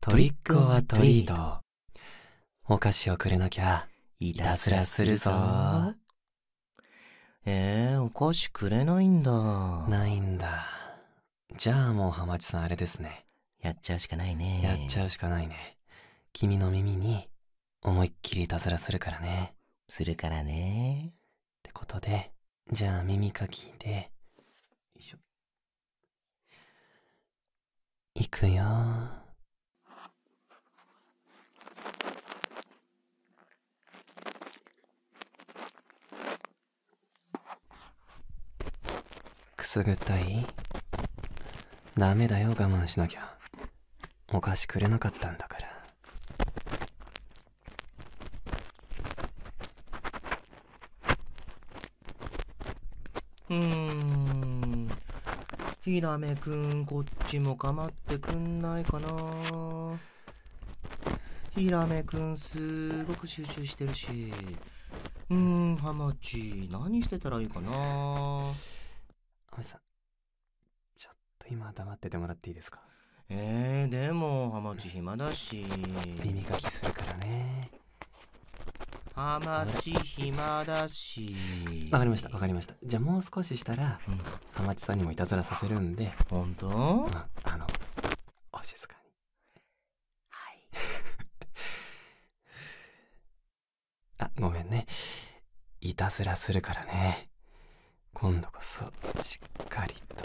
トリックオアトリート。お菓子をくれなきゃ、いたずらするぞ。えー、お菓子くれないんだ。ないんだ。じゃあもう浜地さんあれですね。やっちゃうしかないね。やっちゃうしかないね。君の耳に、思いっきりいたずらするからね。するからね。ってことで、じゃあ耳かきで。いくよくすぐったいダメだよ我慢しなきゃお菓子くれなかったんだからうーん。ヒラメくん、こっちも構ってくんないかなヒラメくん、すごく集中してるし。うん、ハマチ、何してたらいいかなハちょっと今黙っててもらっていいですかえー、でも、ハマチ、ち暇だし耳かきするからねハマチ暇だしわかりましたわかりましたじゃあもう少ししたら、うん、ハマチさんにもいたずらさせるんで本当、うん、あのお静かにはい あごめんねいたずらするからね今度こそしっかりと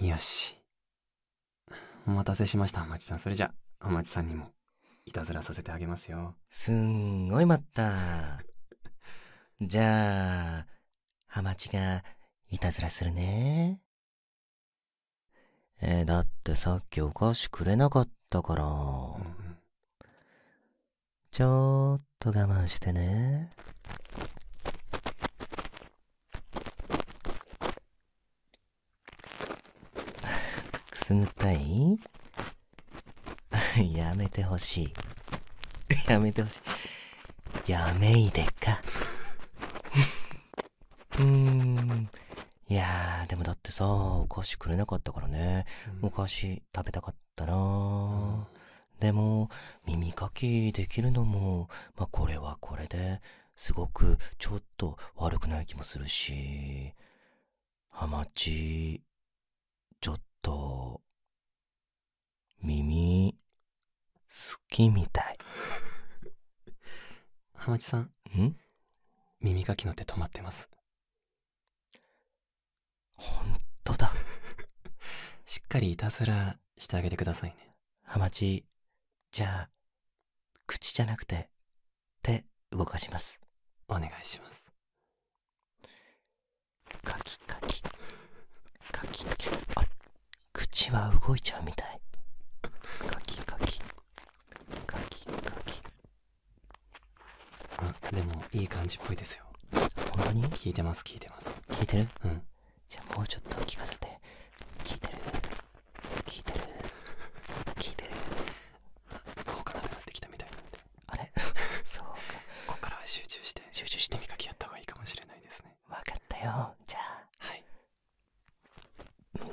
よし。お待たせしました、まちさん。それじゃ、おまちさんにも、いたずらさせてあげますよ。すんごい待った。じゃあ、ハマチが、いたずらするね。えだってさっきお菓子くれなかったから。ちょっと我慢してね。くすぐったい やめてほしいやめてほしいやめいでかうーんいやーでもだってさお菓子くれなかったからね、うお菓子食べたかったな、うでも耳かきできるのもまこれはこれですごくちょっと悪くない気もするし、ハマチ、ちょっと、耳、好きみたい。ハマチさん。ん耳かきの手止まってます。ほんとだ。しっかりいたずらしてあげてくださいね。ハマチ、じゃあ、口じゃなくて、手動かします。お願いします。カキカキ。カキカキ。あ口は動いちゃうみたい。カキカキ。カキカキ。あ、でもいい感じっぽいですよ。本当に聞いてます、聞いてます。聞いてるうん。じゃあもうちょっと聞かせて聞いてる聞いてる聞いてる効かなくなってきたみたいなんであれ そうかここから集中して集中して耳かきやった方がいいかもしれないですねわかったよじゃあはいま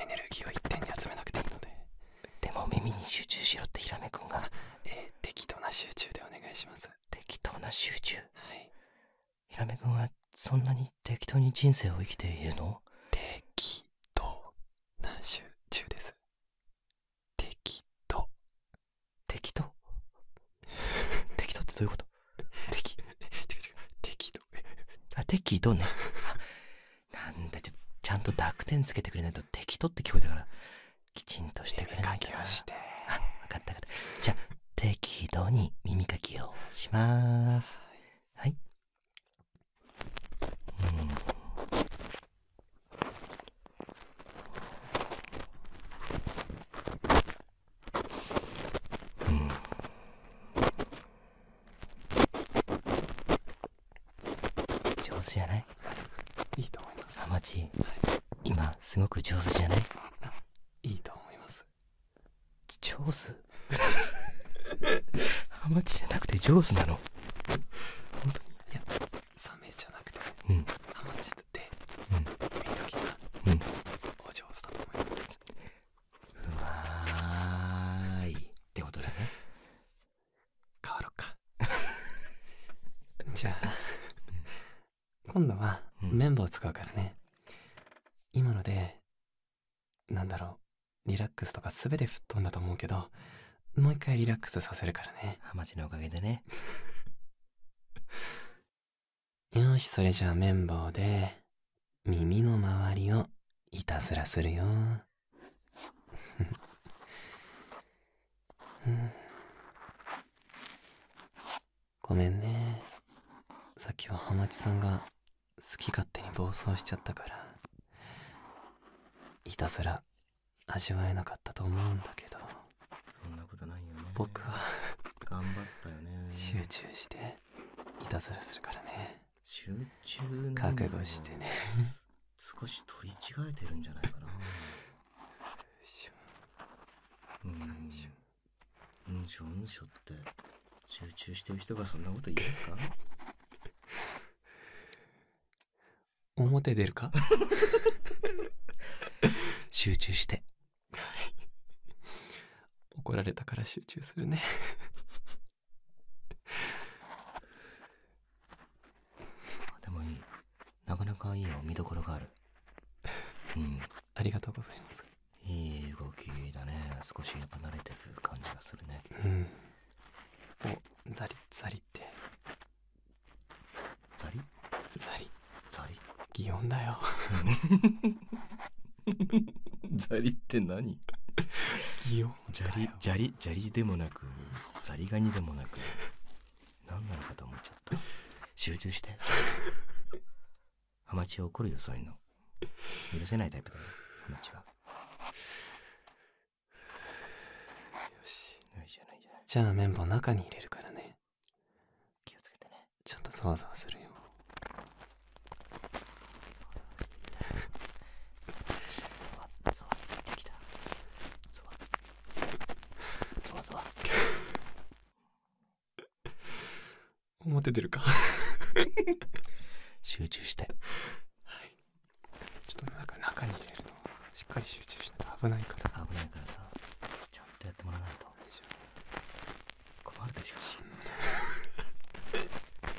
エネルギーを一点に集めなくていいのででも耳に集中しろってひらめくんがえー、適当な集中でお願いします適当な集中はいヒラメ君はそんなに適当に人生を生きているの適当な集中です適当適当 適当ってどういうこと適違う違う適当適当ねなんだちょちゃんと濁点つけてくれないと適当って聞こえたからきちんとしてくれないかあ分かった分かったじゃ適度に耳かきをしますはい、うん、うん、上手じゃないいいと思いますハマチ、今すごく上手じゃないいいと思います上手ハ マチじゃなくて上手なの本当にいやサメじゃなくて、ハマチってうんうん、お上手だと思いますうまいってことだね変わろっか じゃあ今度は綿棒使うからね、今のでなんだろうリラックスとか全て吹っ飛んだと思うけどもう一回リラックスさせるからねハマチのおかげでね よしそれじゃあ綿棒で耳の周りをいたずらするよ。ごめんねさっきはハマチさんが好き勝手に暴走しちゃったからいたずら味わえなかったと思うんだけどそんなことないよ僕は頑張ったよね集中していたずらするからね覚悟してね少し取り違えてるんじゃないかなうんうんしょうんしょって集中してる人がそんなこと言うんですか表出るか集中して怒られたから集中するねあでもいいなかなかいいよ見どころがあるうんありがとうございますいい動きだね少し離れてく感じがするねうんおザリザリってザリザリザリ擬音だよ ザリって何擬砂利砂利砂利でもなくザリガニでもなく何なのかと思っちゃった集中してハマチは怒るよそういうの許せないタイプだよハマチはよしいいじゃないじゃないじゃあ綿棒中に入れるからね気をつけてねちょっとそわそわするよそわそわするゾワゾワついてきたゾワゾワゾワ 表出るか 集中してはいちょっとなんか中に入れるのしっかり集中しないと危ないからさ危ないからさちゃんとやってもらわないと困るでしょし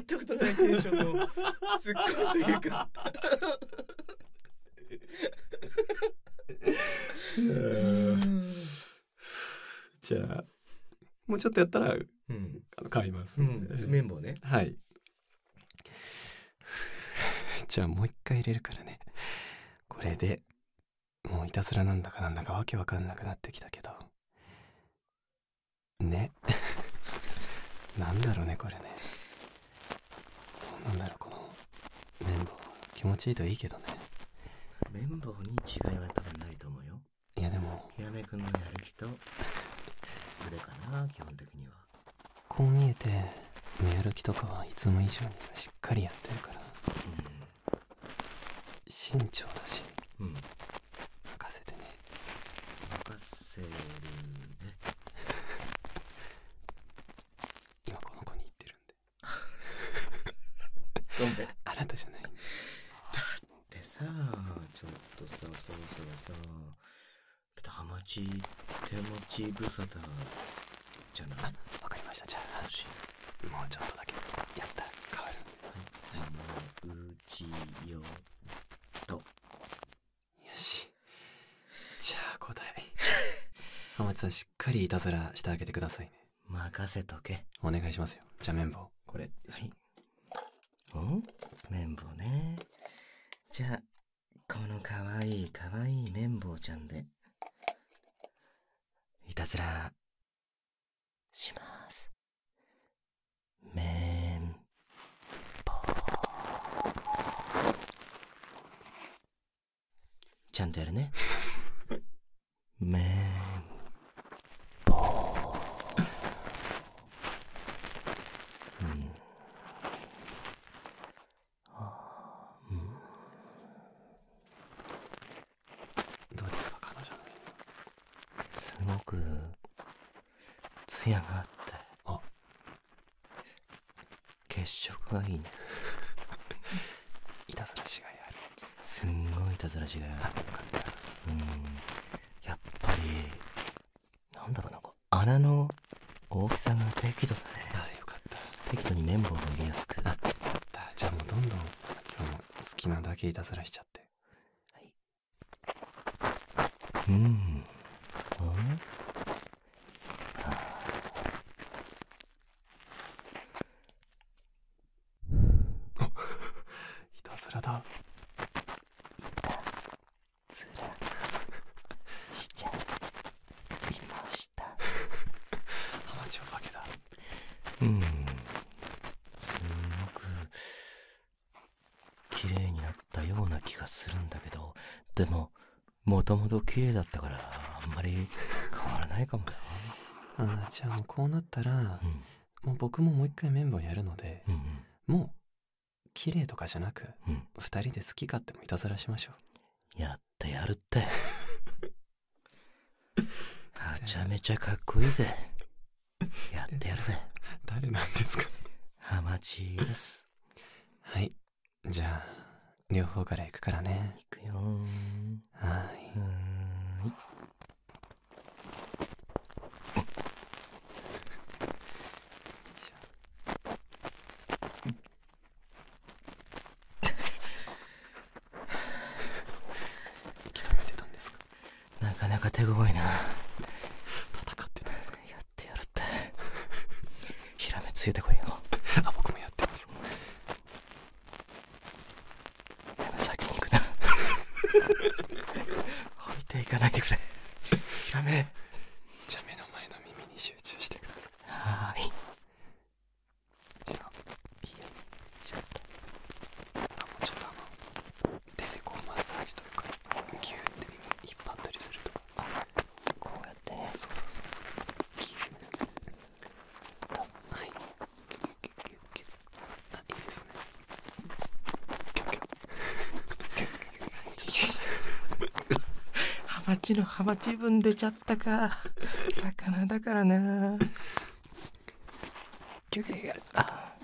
やったことないテンションの突っ込むというか じゃあもうちょっとやったら、買います、綿棒ねはいじゃあもう一回入れるからねこれでもういたずらなんだかなんだかわけわかんなくなってきたけどね なんだろうねこれねどうなんこの綿棒気持ちいいといいけどね綿棒に違いは多分ないと思うよいやでもヒラメくんのやる気と腕かな基本的にはこう見えてやる気とかはいつも以上にしっかりやってるから、うん、慎重だし、うん、任せてね任せるね 今この子に言ってるんで ごめんあなたじゃないだってさちょっとさそろそろさハマチ手持ち無沙汰じゃないわかりましたじゃあもうちょっとだけやったら変わるんで、はい、もううちよとよしじゃあ答え 浜地さんしっかりいたずらしてあげてくださいね任せとけお願いしますよじゃあ綿棒これはいお綿棒ねじゃあこのかわいいかわいい綿棒ちゃんでいたずらしますメン。ポ。ちゃんとやるねメン。ポ。うんあーうんどうですか彼女すごくツヤがあってあ血色がいいね いたずらしがいあるすんごいいたずらしがいあるうんやっぱりなんだろうなこう穴の大きさが適度だねああよかった適度に綿棒を入れやすくなったじゃあもうどんどんその好きなだけいたずらしちゃってはいうん。ああ。いたずらだ。いたずらしちゃいました。ア マチュア化けだ。うん。すごく綺麗になったような気がするんだけどでももともと綺麗だったからあんまり変わらないかも あじゃあもうこうなったら、もう僕ももう一回綿棒やるので、ううん、もう綺麗とかじゃなく、う2人で好き勝手もいたずらしましょうやってやるって はちゃめちゃかっこいいぜ やってやるぜ。誰なんですかハマチです。はい。じゃあ、両方から行くからね。行くよはい。はい諦 めてたんですかなかなか手強いな戦ってたんですかやってやるってひらめついてこいよ あ僕もやってます先に行くな 置いていかないでくれひらめじゃあ目の前の耳に集中してくださいはーいいいよねったあもうちょっとあの手でこうマッサージというかギューって引っ張ったりするとこうやってねそうそうそうギューとはまギュギュギュギュギュあいいのハマチ分出ちゃったか魚だからな休憩があ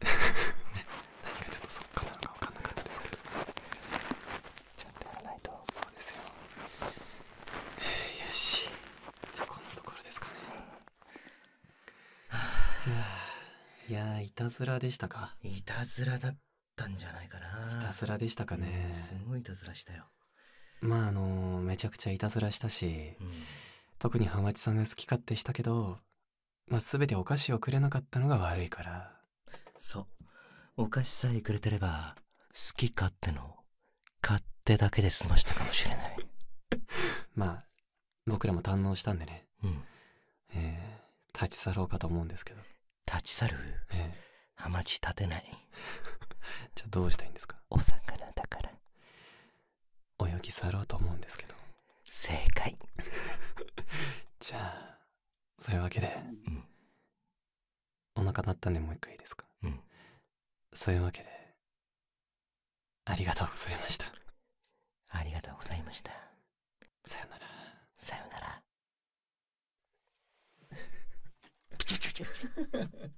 何がちょっとそっかなのか分かんなかったですけどちゃんとやらないとそうですよ、よしじゃあこんなところですかねあいやいたずらでしたかいたずらだったんじゃないかないたずらでしたかね、すごいいたずらしたよまああのめちゃくちゃいたずらしたし、特にハマチさんが好き勝手したけど、全てお菓子をくれなかったのが悪いからそうお菓子さえくれてれば好き勝手の勝手だけで済ましたかもしれない まあ僕らも堪能したんでね、うえ立ち去ろうかと思うんですけど立ち去る、ハマチ立てない じゃあどうしたいんですかお魚だから泳ぎ去ろうと思うんですけど正解 じゃあそういうわけで、うん、お腹鳴ったんでもう一回いいですか、そういうわけでありがとうございましたありがとうございましたさよならさよならチュチュチュ